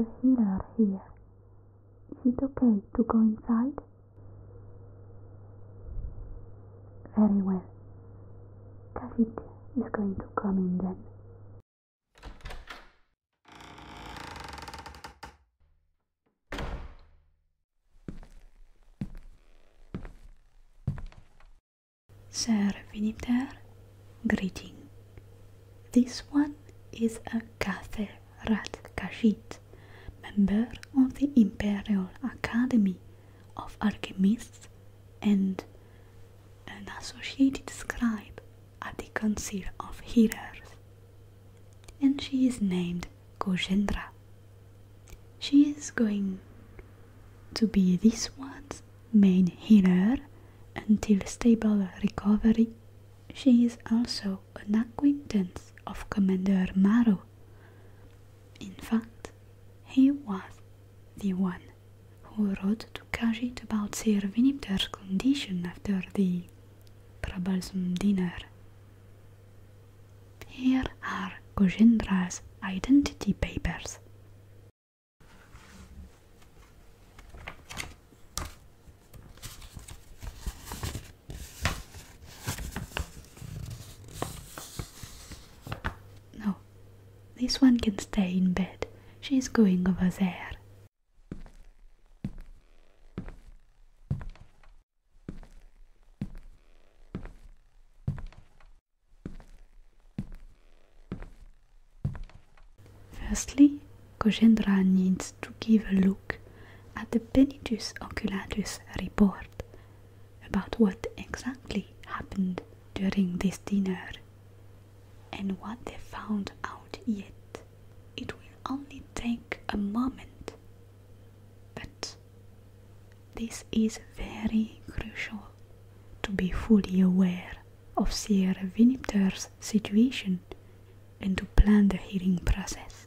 It's the heater here. Is it okay to go inside? Very well. Kashit is going to come in then. Sir Viniter, greeting. This one is a Kathe Kajit, member of the Imperial Academy of Alchemists and an associated scribe at the council of healers, and she is named Gojendra. She is going to be this one's main healer until stable recovery. She is also an acquaintance of Commander Maru. In fact, he was the one who wrote to Kajit about Sir Vinipter's condition after the troublesome dinner. Here are Gojendra's identity papers. No, this one can stay in bed. She's going over there. Firstly, Gojendra needs to give a look at the Penitus Oculatus report about what exactly happened during this dinner and what they found out yet, it will only take a moment. But this is very crucial to be fully aware of Sierra Vinipter's situation and to plan the healing process.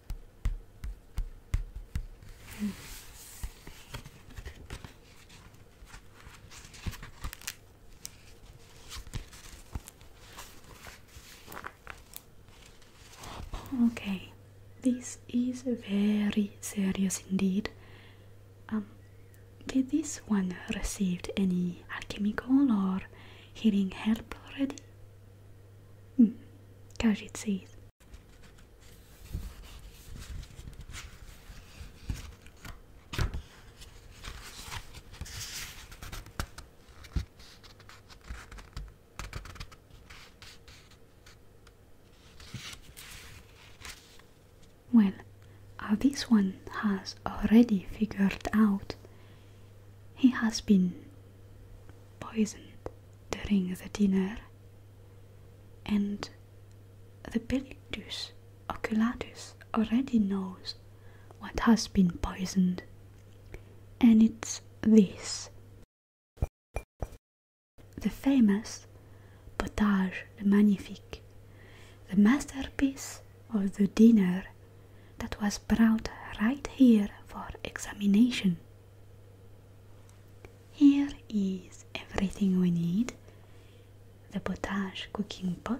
Hmm. Okay, this is very serious indeed. Um, did this one received any alchemical or healing help already? Mm, Kajit says well, uh, this one has already figured out he has been poisoned during the dinner and the Bellictus oculatus already knows what has been poisoned, and it's this the famous Potage le Magnifique, the masterpiece of the dinner that was brought right here for examination. Here is everything we need the potage cooking pot,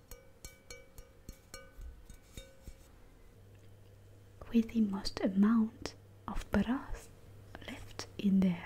with the most amount of brass left in there.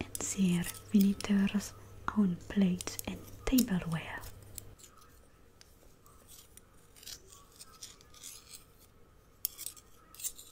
and serve visitors on plates and tableware.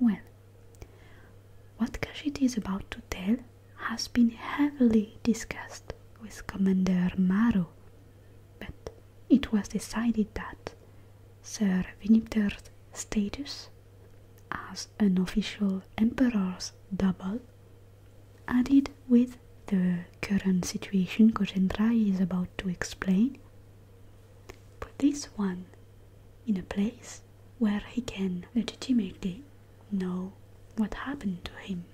Well, what Kajit is about to tell has been heavily discussed with Commander Maru, but it was decided that Sir Vinipter's status as an official emperor's double Added with the current situation Kojendrai is about to explain, But this one in a place where he can legitimately know what happened to him.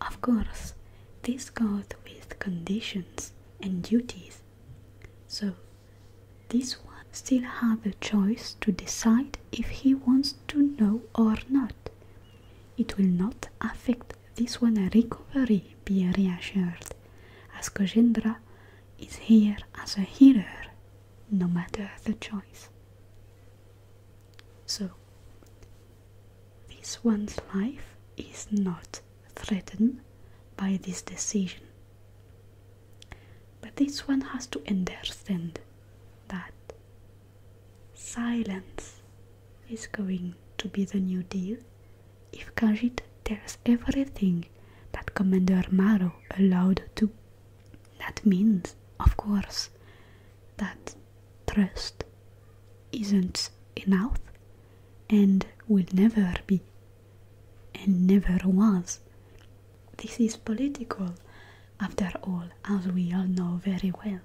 Of course, this goes with conditions and duties, so this one still has a choice to decide if he wants to know or not it will not affect this one's recovery, be reassured, as Kojendra is here as a healer, no matter the choice. So, this one's life is not threatened by this decision. But this one has to understand that Silence is going to be the new deal if Kanjit tells everything that Commander Maro allowed to. That means, of course, that trust isn't enough and will never be and never was. This is political after all, as we all know very well.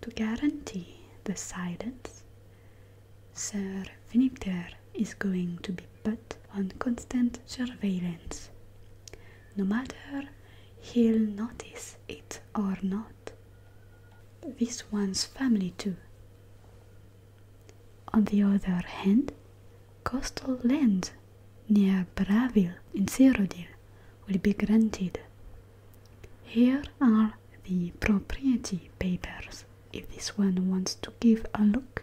To guarantee the silence, Sir Finipter is going to be put on constant surveillance. No matter he'll notice it or not. This one's family too. On the other hand, coastal lands near Braville in Cyrodiil will be granted. Here are the property papers if this one wants to give a look.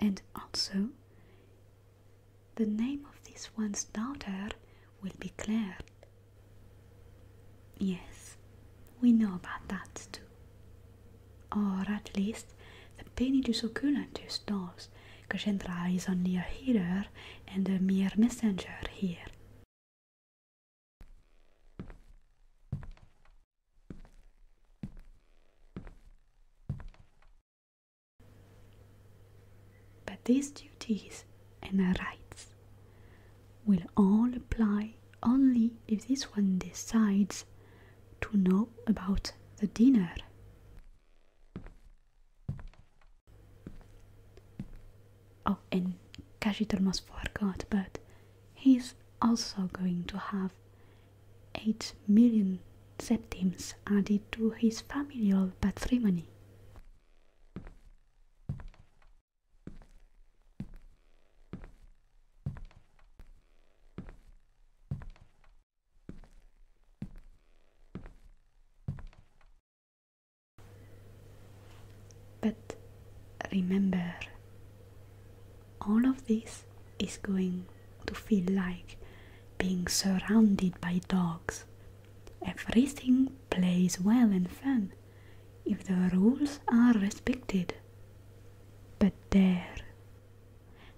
And also, the name of this one's daughter will be Claire. Yes, we know about that too. Or at least the Penidus Occulantus does. Cassandra is only a hearer and a mere messenger here. But these duties and rights will all apply only if this one decides to know about the dinner. Oh, and Kashit almost forgot, but he's also going to have 8 million septims added to his familial patrimony. But remember, all of this is going to feel like being surrounded by dogs. Everything plays well and fun if the rules are respected. But there,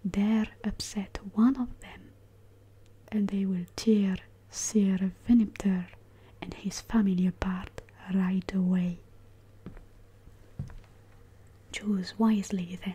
there upset one of them, and they will tear Sir Venipter and his family apart right away. Choose wisely then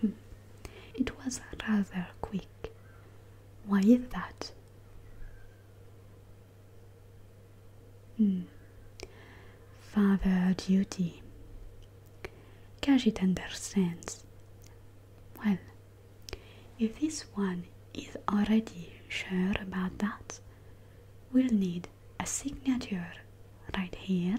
Hmm. It was rather quick. Why is that? Hmm. Father duty. Kajit understands. Well, if this one is already sure about that, we'll need a signature right here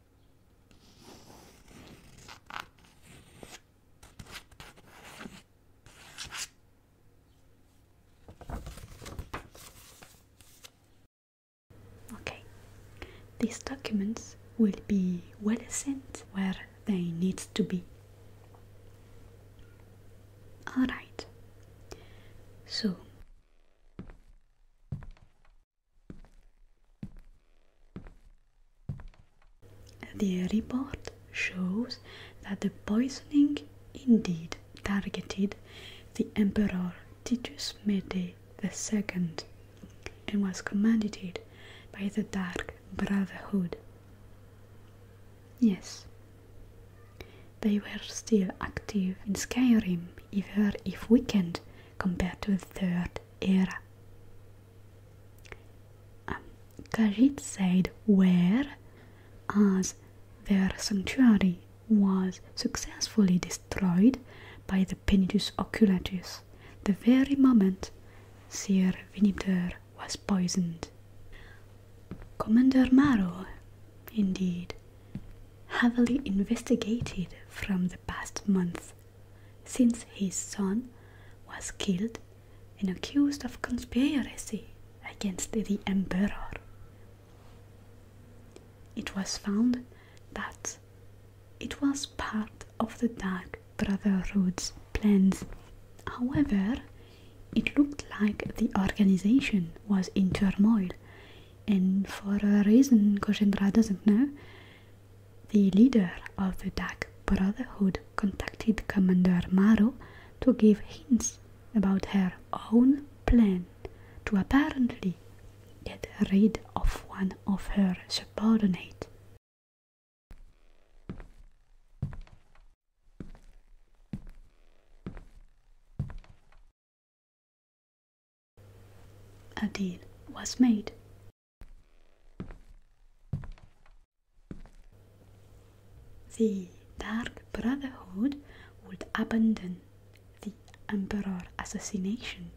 Okay, these documents will be well sent where they need to be. Alright, so the report shows that the poisoning indeed targeted the Emperor Titus Mede II and was commanded by the Dark Brotherhood. Yes, they were still active in Skyrim, even if weakened compared to the Third era. Um, Khajiit said where, as their sanctuary was successfully destroyed by the Penitus oculatus the very moment Sir Vinipter was poisoned. Commander Maro, indeed, heavily investigated from the past month since his son was killed and accused of conspiracy against the emperor. It was found that it was part of the Dark Brotherhood's plans. However, it looked like the organization was in turmoil, and for a reason Gojendra doesn't know, the leader of the Dark Brotherhood contacted Commander Maru to give hints about her own plan to apparently get rid of one of her subordinates. A deal was made. The Dark Brotherhood would abandon the Emperor assassination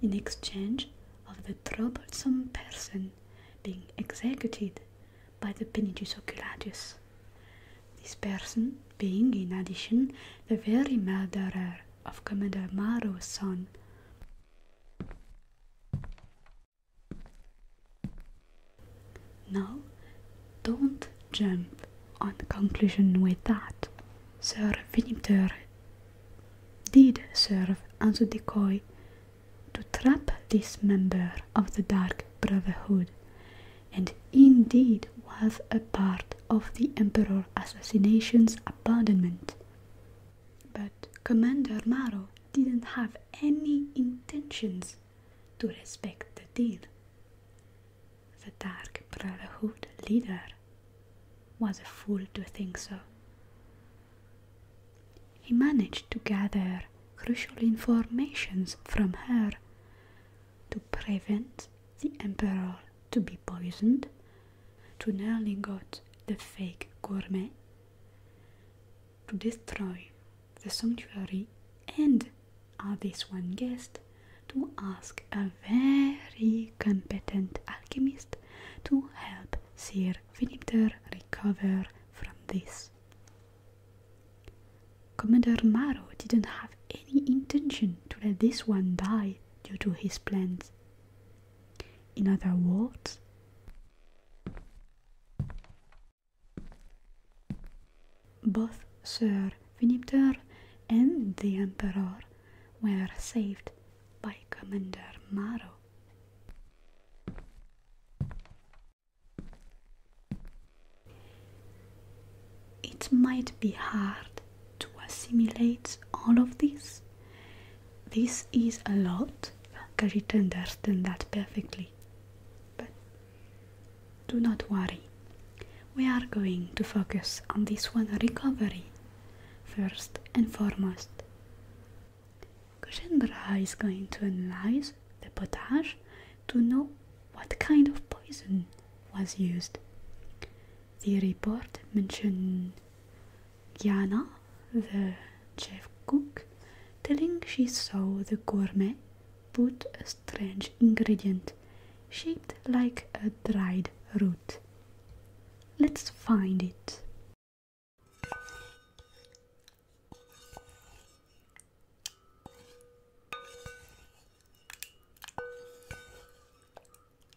in exchange of the troublesome person being executed by the Penitus Oculatus. This person being in addition the very murderer of Commander Maro's son. Now, don't jump on conclusion with that. Sir Winter did serve as a decoy to trap this member of the Dark Brotherhood, and indeed was a part of the Emperor assassinations abandonment. But Commander Maro didn't have any intentions to respect the deal. The Dark Brotherhood leader was a fool to think so. He managed to gather crucial informations from her to prevent the Emperor to be poisoned Tonelli got the fake gourmet to destroy the sanctuary and at this one guest to ask a very competent alchemist to help Sir Vinipter recover from this. Commander Maro didn't have any intention to let this one die due to his plans in other words, both Sir Winipter and the Emperor were saved by Commander Maro. It might be hard to assimilate all of this. This is a lot. Carita understands that perfectly. But do not worry. We are going to focus on this one recovery first and foremost. Kushenbra is going to analyze the potage to know what kind of poison was used. The report mentioned Yana, the chef cook, telling she saw the gourmet put a strange ingredient shaped like a dried root. Let's find it.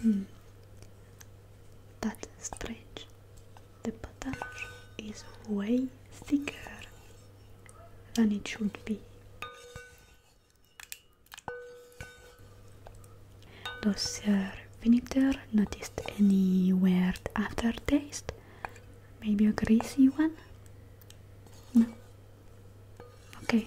Hmm. That's strange the potage is way thicker than it should be. Does your Vinegar noticed any weird aftertaste? Maybe a greasy one? No. Okay.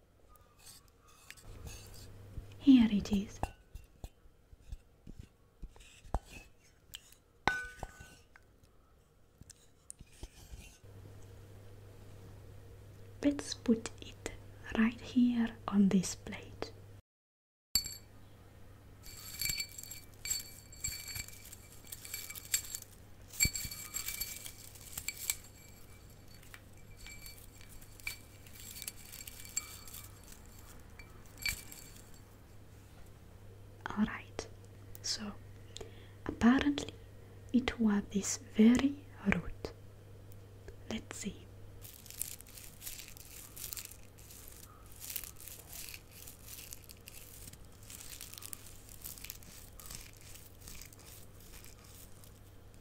Here it is. Let's put it right here on this plate. Alright, so apparently it was this very root. Let's see.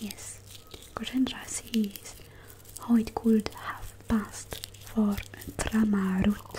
Yes, Gajendra sees how it could have passed for a drama route.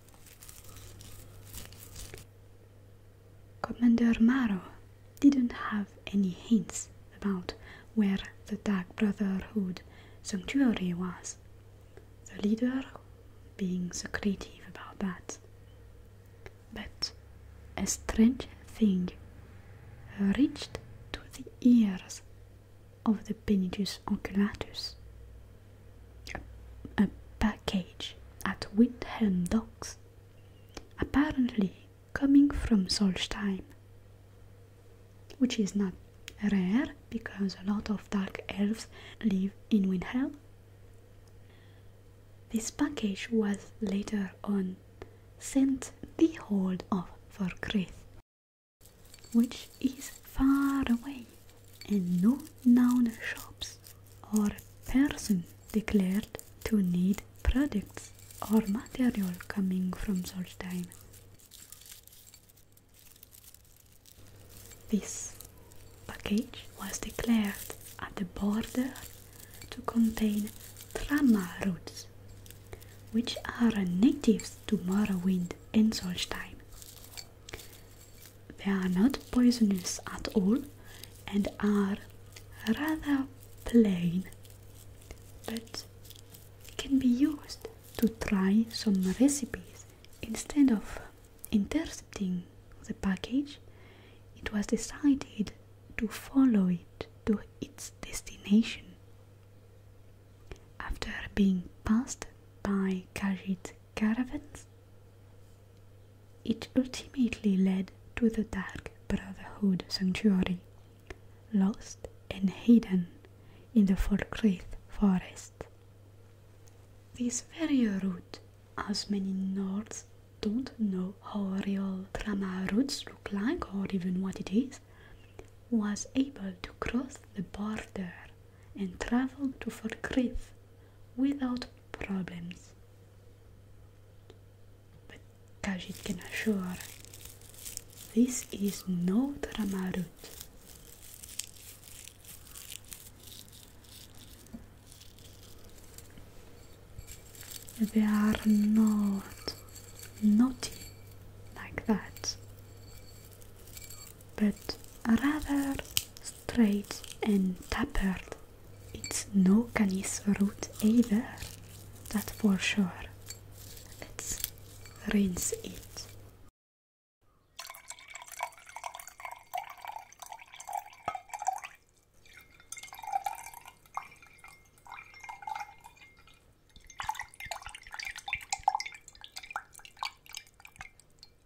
Commander Maro didn't have any hints about where the Dark Brotherhood sanctuary was, the leader being secretive about that. But a strange thing reached to the ears of the Benitus Oculatus a package at Windhelm Docks, apparently coming from Solstein. which is not rare because a lot of dark elves live in Windhelm. This package was later on sent the hold of Forkrith, which is far away and no known shops or person declared to need products or material coming from such time. This package was declared at the border to contain trama roots, which are natives to Morrowind in Solstheim. They are not poisonous at all and are rather plain, but can be used to try some recipes. Instead of intercepting the package, it was decided to follow it to its destination. After being passed by carried caravans, it ultimately led to the Dark Brotherhood Sanctuary, lost and hidden in the Falkreath forest. This very route, as many Nords don't know how real drama routes look like or even what it is, was able to cross the border and travel to Fort Forkreef without problems. But Kajit can assure this is no drama route. They are not naughty like that, but rather straight and tapered. It's no canis root either, that for sure. Let's rinse it.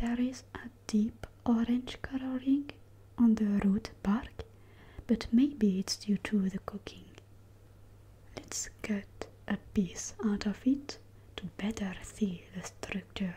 There is a deep orange coloring on the root bark, but maybe it's due to the cooking. Let's cut a piece out of it to better see the structure.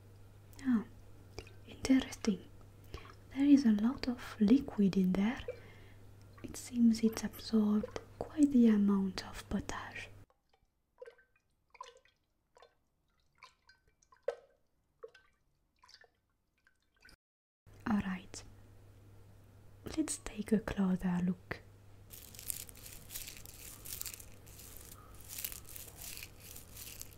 Ah, interesting. There is a lot of liquid in there. It seems it's absorbed quite the amount of potash. Alright, let's take a closer look.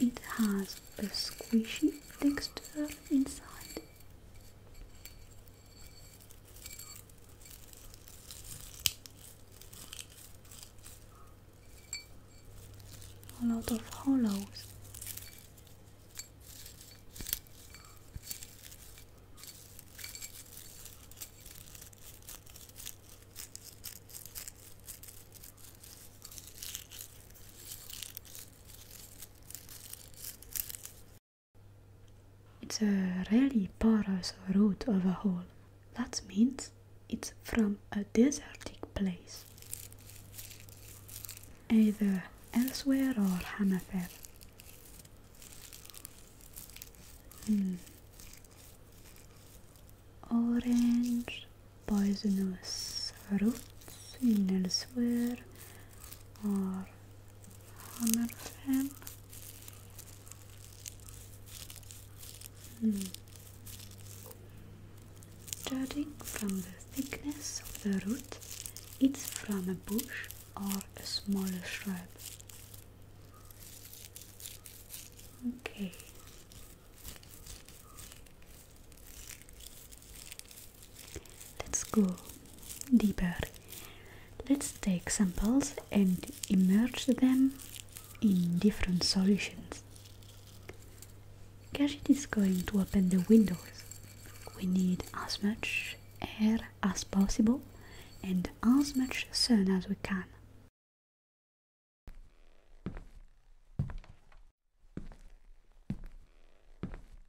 It has a squishy texture inside a lot of hollows. It's a really porous root of a hole. That means it's from a desertic place, either elsewhere or Hamafer. Hmm. Orange poisonous roots in elsewhere or Hammerfell. Hmm. Judging from the thickness of the root, it's from a bush or a smaller shrub. Okay. Let's go deeper. Let's take samples and immerse them in different solutions. Gadget is going to open the windows. We need as much air as possible and as much sun as we can.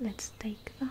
Let's take that.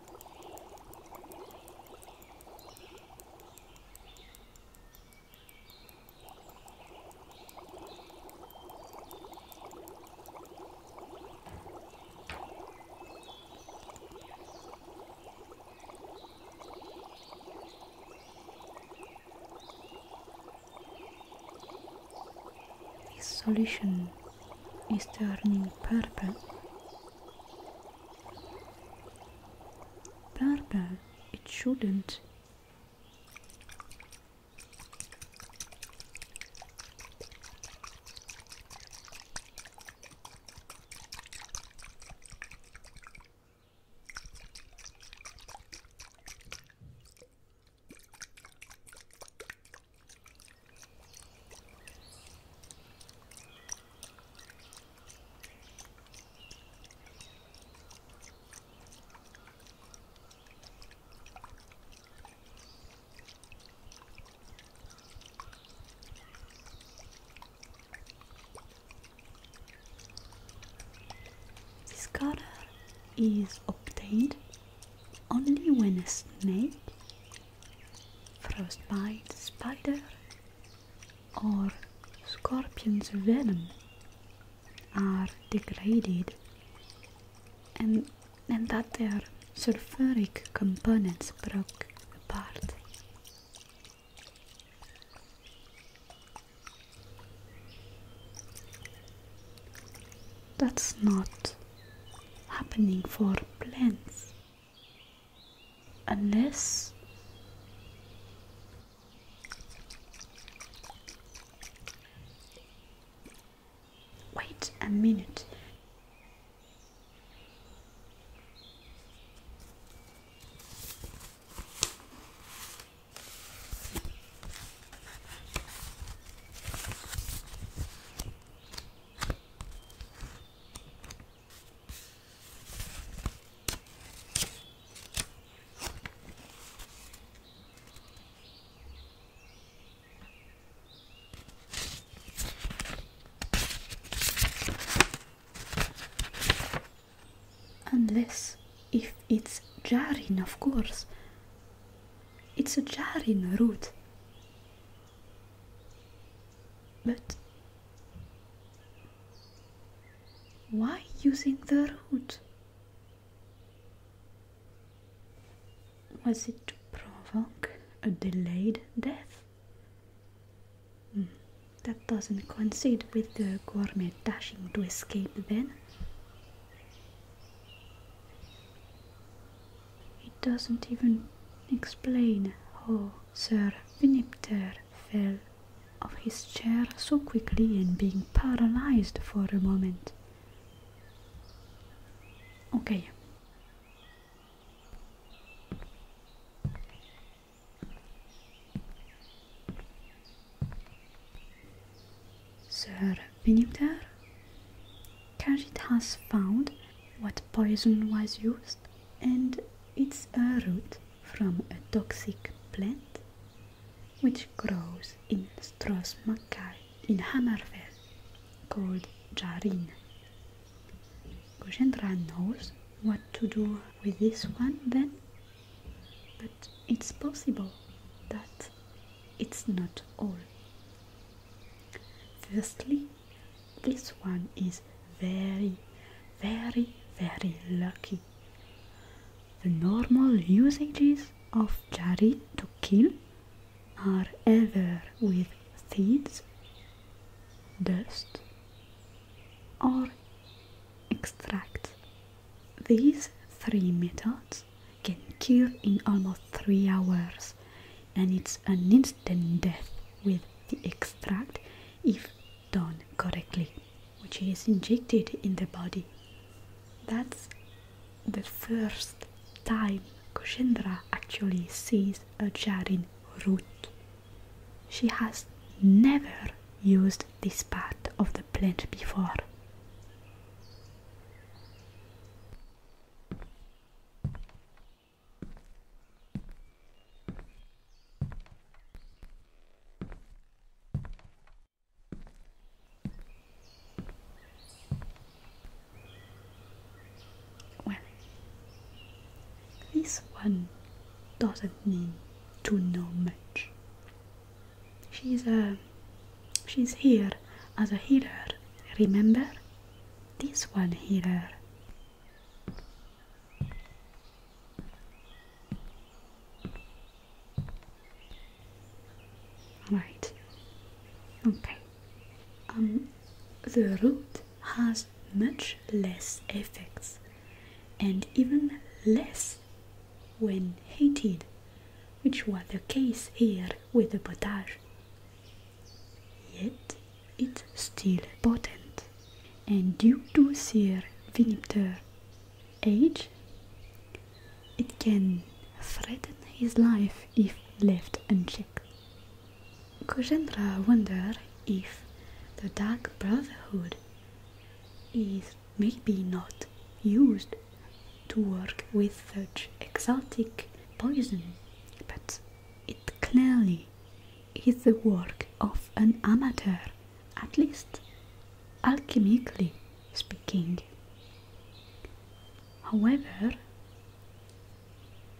This solution is turning purple Darba, it shouldn't. This color is obtained only when a snake frostbite spider or scorpion's venom are degraded and, and that their sulfuric components broke apart. That's not happening for plants. And this? Wait a minute. Unless if it's Jarin, of course. It's a Jarin root. But why using the root? Was it to provoke a delayed death? Hmm, that doesn't coincide with the gourmet dashing to escape then. It doesn't even explain how Sir Vinipter fell off his chair so quickly and being paralyzed for a moment. Okay. Sir Vinipter Kajit has found what poison was used and it's a root from a toxic plant which grows in Stros in Hammerfell called Jarin. Gujendra knows what to do with this one then, but it's possible that it's not all. Firstly, this one is very, very, very lucky. The normal usages of jari to kill are either with seeds, dust, or extract. These three methods can kill in almost three hours and it's an instant death with the extract if done correctly, which is injected in the body. That's the first time Kushendra actually sees a jarin root. She has never used this part of the plant before. Well, this one doesn't mean to know much. She's a uh, she's here as a healer, remember? This one healer Right. Okay. Um, the root has much less effects and even less when heated, which was the case here with the potage. Yet it's still potent. And due to their vinipter age, it can threaten his life if left unchecked. Kojendra wondered if the Dark Brotherhood is maybe not used to work with such exotic poison, but it clearly is the work of an amateur, at least alchemically speaking. However,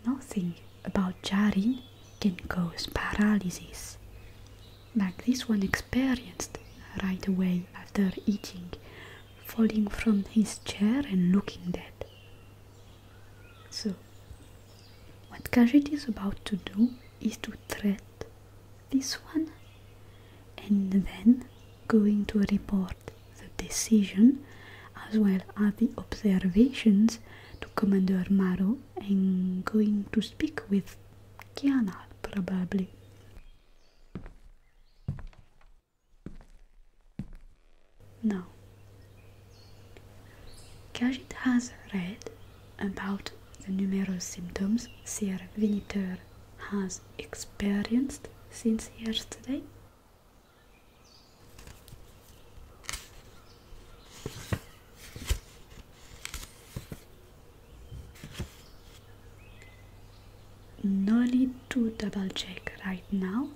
nothing about jarring can cause paralysis, like this one experienced right away after eating, falling from his chair and looking dead. So, what Khajiit is about to do is to thread this one and then going to report the decision as well as the observations to Commander Maro and going to speak with Kiana probably. Now, Kajit has read about the numerous symptoms Sir Vinitor has experienced since yesterday. No need to double check right now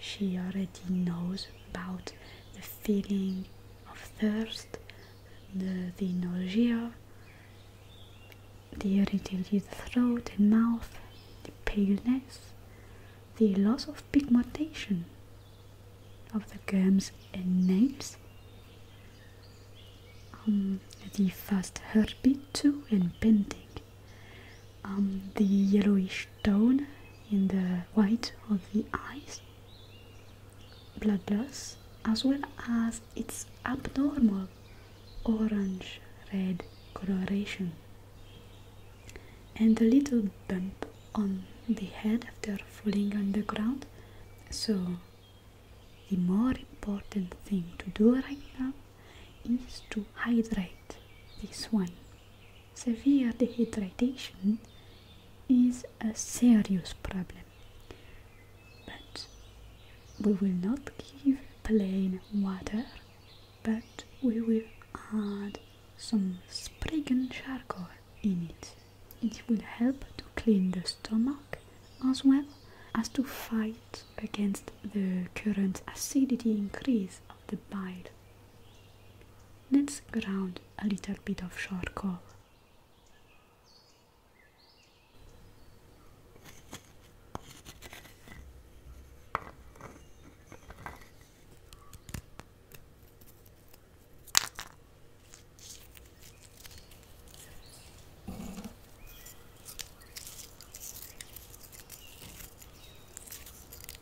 she already knows about the feeling of thirst, the, the nausea, the irritated throat and mouth, the paleness, the loss of pigmentation of the gums and nails, um, the fast heartbeat too and bending, um, the yellowish tone in the white of the eyes, blood loss, as well as its abnormal orange red coloration, and a little bump on the head after falling on the ground. So, the more important thing to do right now is to hydrate this one Severe dehydration is a serious problem, but we will not give plain water, but we will add some Spriggan charcoal in it. It will help to clean the stomach as well as to fight against the current acidity increase of the bile. Let's ground a little bit of charcoal.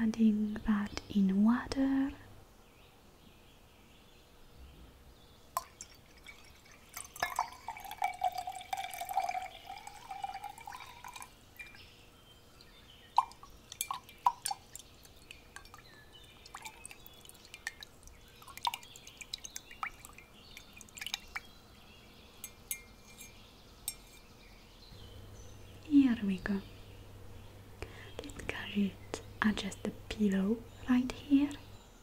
Adding that in water here we go. Did Garrett adjust the pillow right here?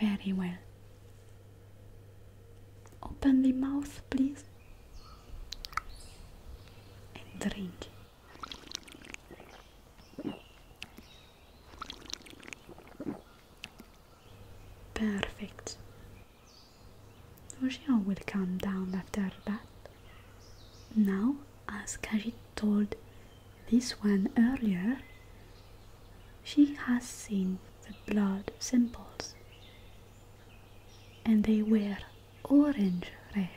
Very well. Open the mouth, please, and drink. Perfect. Roger will come down after that. Now, as Kajit told this one earlier, she has seen the blood symbols, and they were orange red,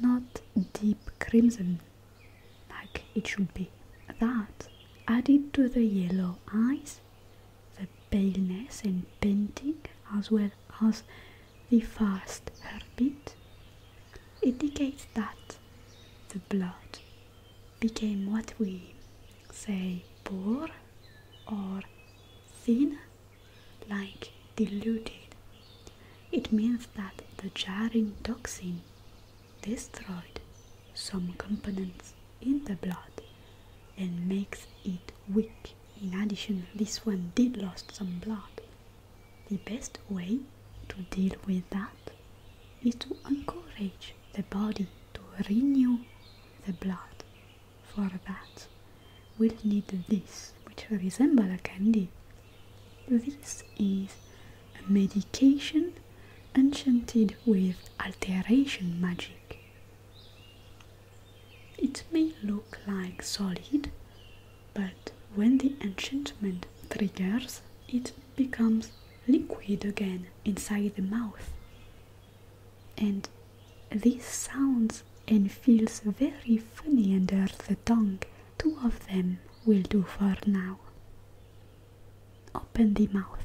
not deep crimson like it should be. That added to the yellow eyes, the paleness and painting, as well as the fast heartbeat, indicates that the blood became what we say poor or thin, like diluted. It means that the jarring toxin destroyed some components in the blood and makes it weak. In addition, this one did lost some blood. The best way to deal with that is to encourage the body to renew the blood for that will need this which will resemble a candy this is a medication enchanted with alteration magic it may look like solid but when the enchantment triggers it becomes liquid again inside the mouth and this sounds and feels very funny under the tongue. Two of them will do for now. Open the mouth.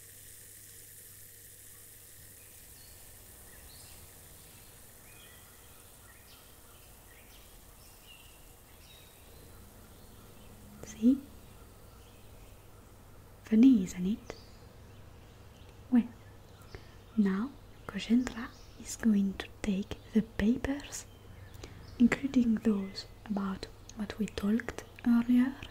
See? Funny, isn't it? Well, now Kojendra is going to take the papers, including those about what we talked earlier,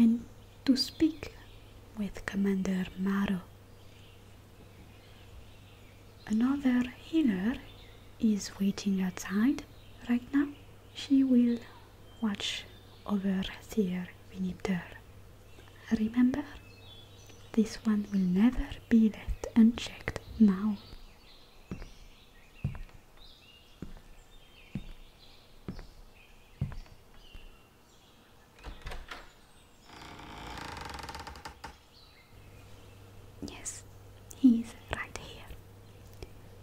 and to speak with Commander Maro Another healer is waiting outside right now. She will watch over Sir Vinipter. Remember, this one will never be left unchecked now. Yes, he's right here.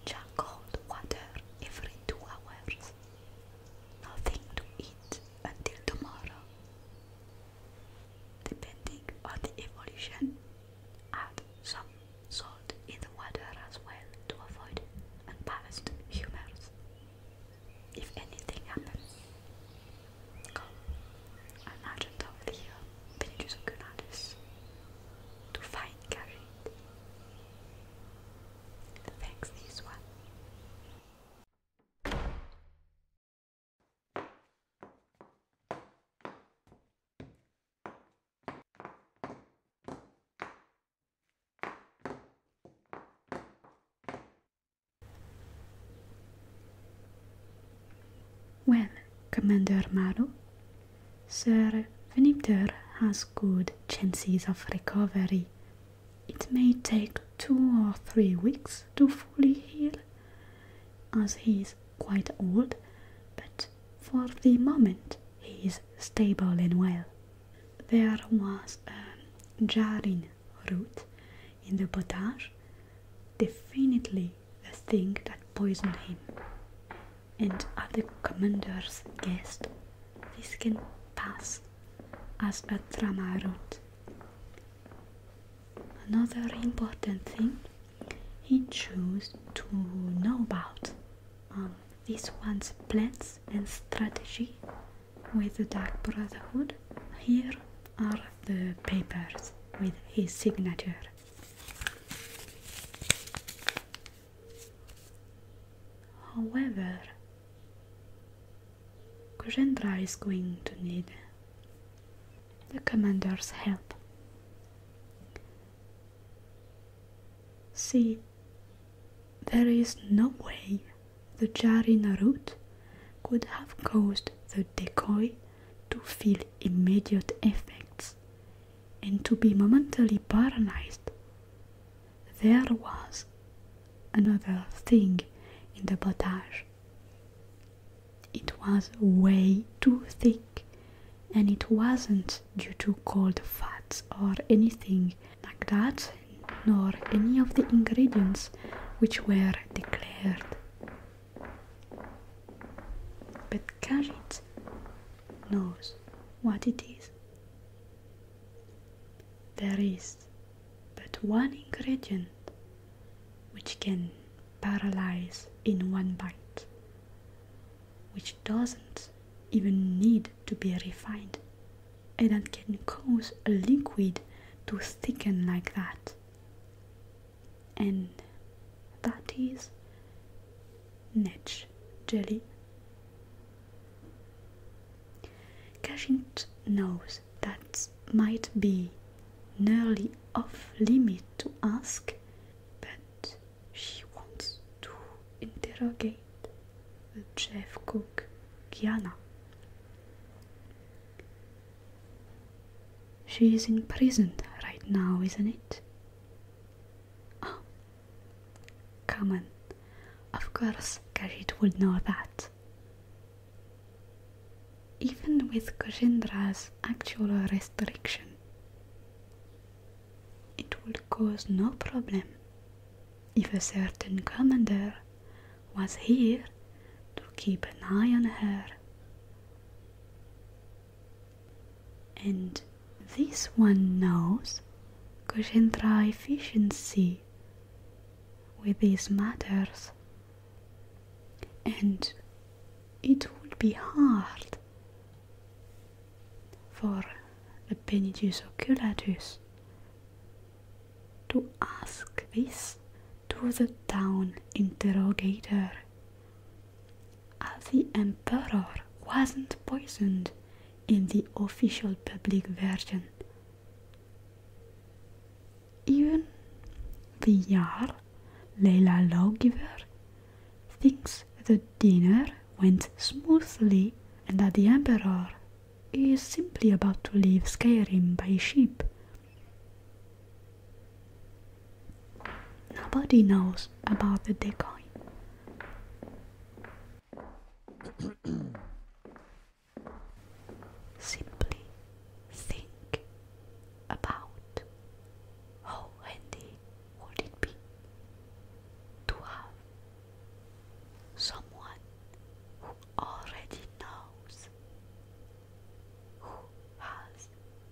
Jack cold water every two hours. Nothing to eat until tomorrow. Depending on the evolution, add some salt in the water as well to avoid unbalanced humors. If anything happens, Anacı tavlaya beni yüzü günahdes. To find carried. Thanks this one. Well, Commander Maro, Sir Venipter has good chances of recovery. It may take two or three weeks to fully heal, as he is quite old, but for the moment he is stable and well. There was a jarring root in the potage, definitely the thing that poisoned him. And other commander's guessed, this can pass as a drama route. Another important thing he chose to know about um, this one's plans and strategy with the Dark Brotherhood. Here are the papers with his signature. However, Kujendra is going to need the commander's help. See, there is no way the Jari Narut could have caused the decoy to feel immediate effects and to be momentarily paralyzed. There was another thing in the botage. It was way too thick and it wasn't due to cold fats or anything like that, nor any of the ingredients which were declared. But Kajit knows what it is. There is but one ingredient which can paralyze in one bite, which doesn't even need to be refined, and that can cause a liquid to thicken like that and that is Nudge jelly. Cashing knows that might be nearly off limit to ask, but she wants to interrogate the chef cook Kiana. She is imprisoned right now, isn't it? Oh, come Of course, Karit would know that. Even with Koshendra's actual restriction, it would cause no problem if a certain commander was here to keep an eye on her and this one knows Kushindra efficiency with these matters, and it would be hard for the Penitus oculatus to ask this to the town interrogator as the emperor wasn't poisoned in the official public version. Even the Yar, Leila lawgiver, thinks the dinner went smoothly and that the emperor is simply about to leave Skyrim by ship Nobody knows about the decoy. Simply think about how handy would it be to have someone who already knows who has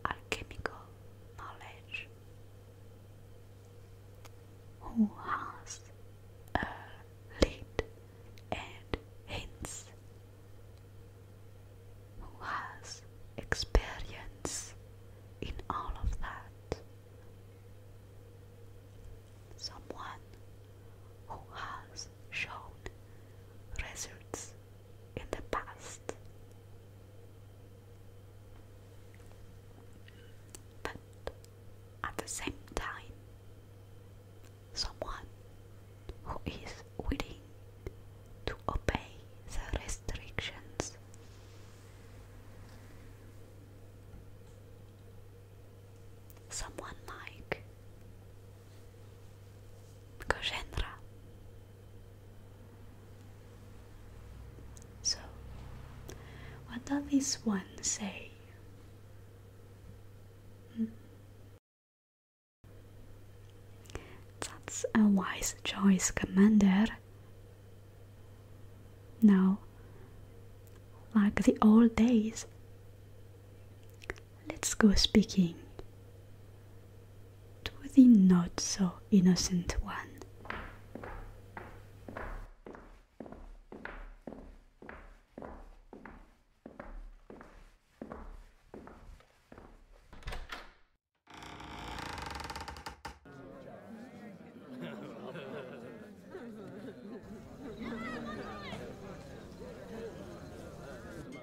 alchemical knowledge, who has lead and hints, who has experience in all of that, someone who has shown results in the past. But at the same time, someone who is willing to obey the restrictions. Someone like Gajendra. So, what does this one say? Hmm? That's a wise choice, Commander. Now, like the old days, let's go speaking to the not so innocent one.